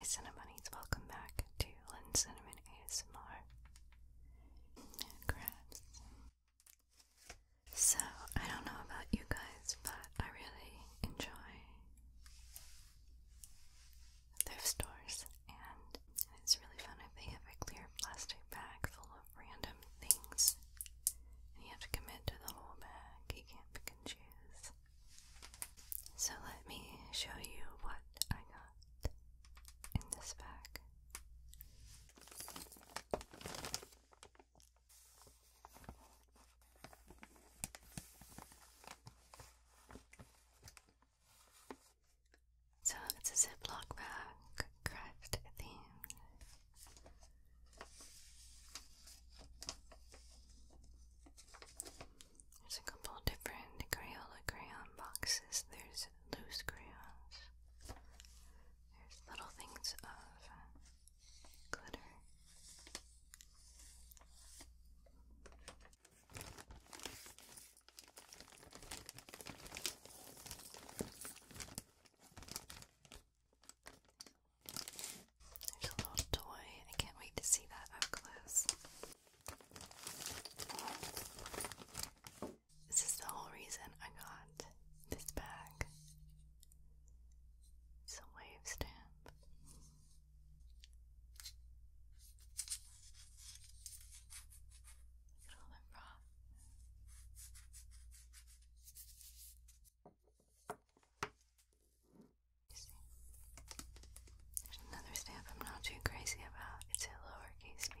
Hey Cinnamonies, welcome back to Lynn Cinnamon ASMR. So, I don't know about you guys, but I really enjoy thrift stores, and it's really fun if they have a clear plastic bag full of random things. And you have to commit to the whole bag, you can't pick and choose. So let me show you what I got in this bag. So it's a Ziploc bag, craft themed. There's a couple different Crayola crayon boxes. There's loose crayons. There's little things of glitter. There's a little toy. I can't wait to see that up close. This is the whole reason I got this bag. It's a wave stamp. Look at all that rock. There's another step I'm not too crazy about. It's a lowercase b.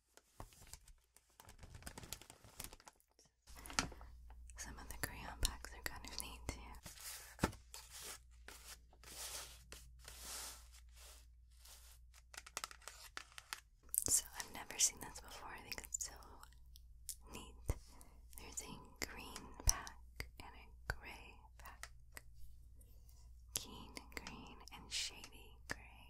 Some of the crayon packs are kind of neat too. So I've never seen this before. I think it's so neat. There's a green pack and a gray pack. Keen green and shady gray.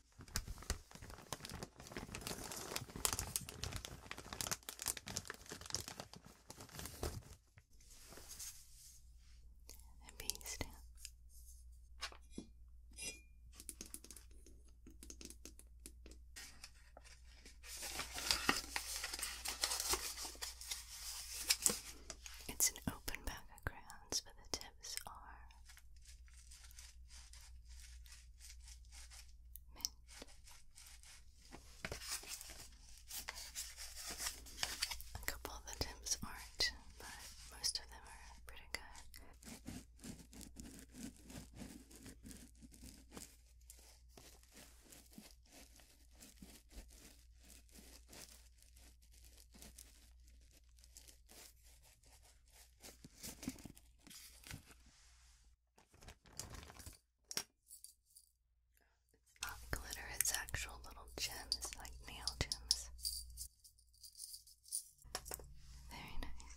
And being It's an open bag of grounds for the tail items are mint. A couple of the tips aren't, but most of them are pretty good. It's not glitter, it's actual little gems, like nail gems. Very nice.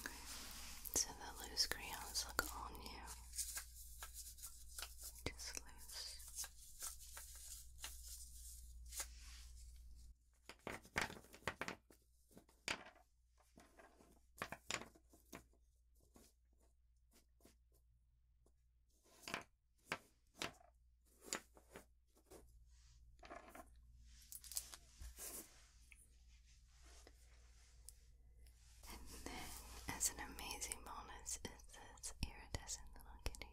Okay, so the loose crayons look on you. Just loose. And then, as an amazing bonus, is this iridescent little kitty.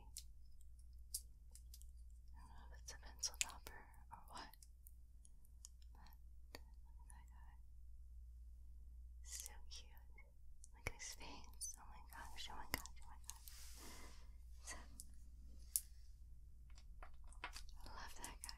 I don't know if it's a pencil topper or what, but that guy. So cute. Look at his face. Oh my my gosh, oh my gosh, oh my gosh. I love that guy.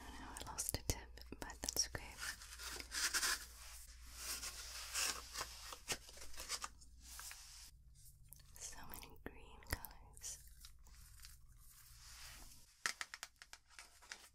I know I lost a tip, but that's okay. So many green colors.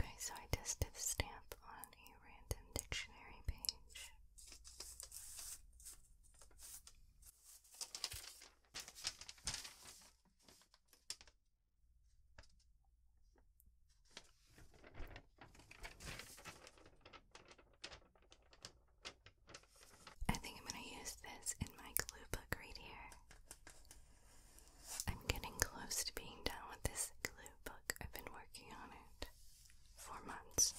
Okay, so I tested the stamp on random dictionary page. I think I'm going to use this in my glue book right here. I'm getting close to being done with this glue book. I've been working on it four months.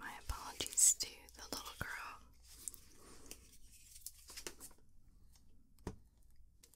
My apologies to the little girl.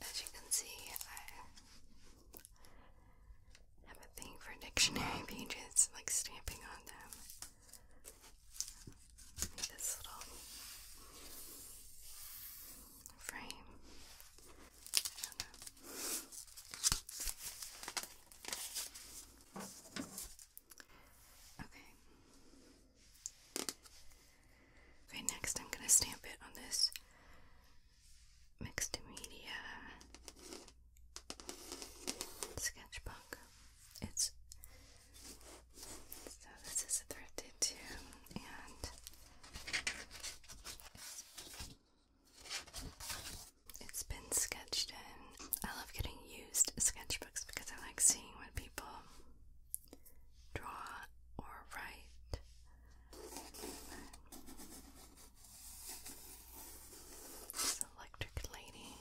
As you can see, I have a thing for dictionary pages, like stamping on them. this little frame. Okay. Okay, next I'm gonna stamp it on this mixed media sketchbook. It's so this is a thrifted too, and it's been sketched in. I love getting used sketchbooks because I like seeing what people draw or write. electric lady.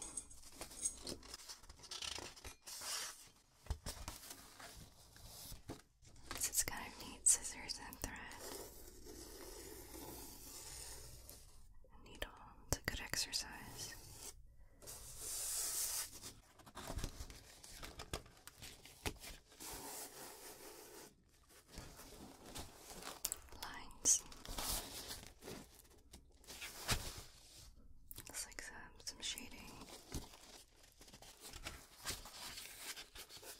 This is kind of scissors and thread. needle. It's a good exercise. Lines. It's like some, some shading.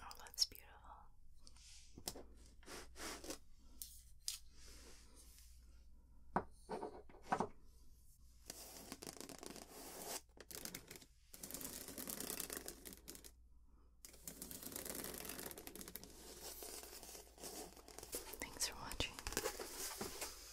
Oh, that's beautiful. Thanks for watching.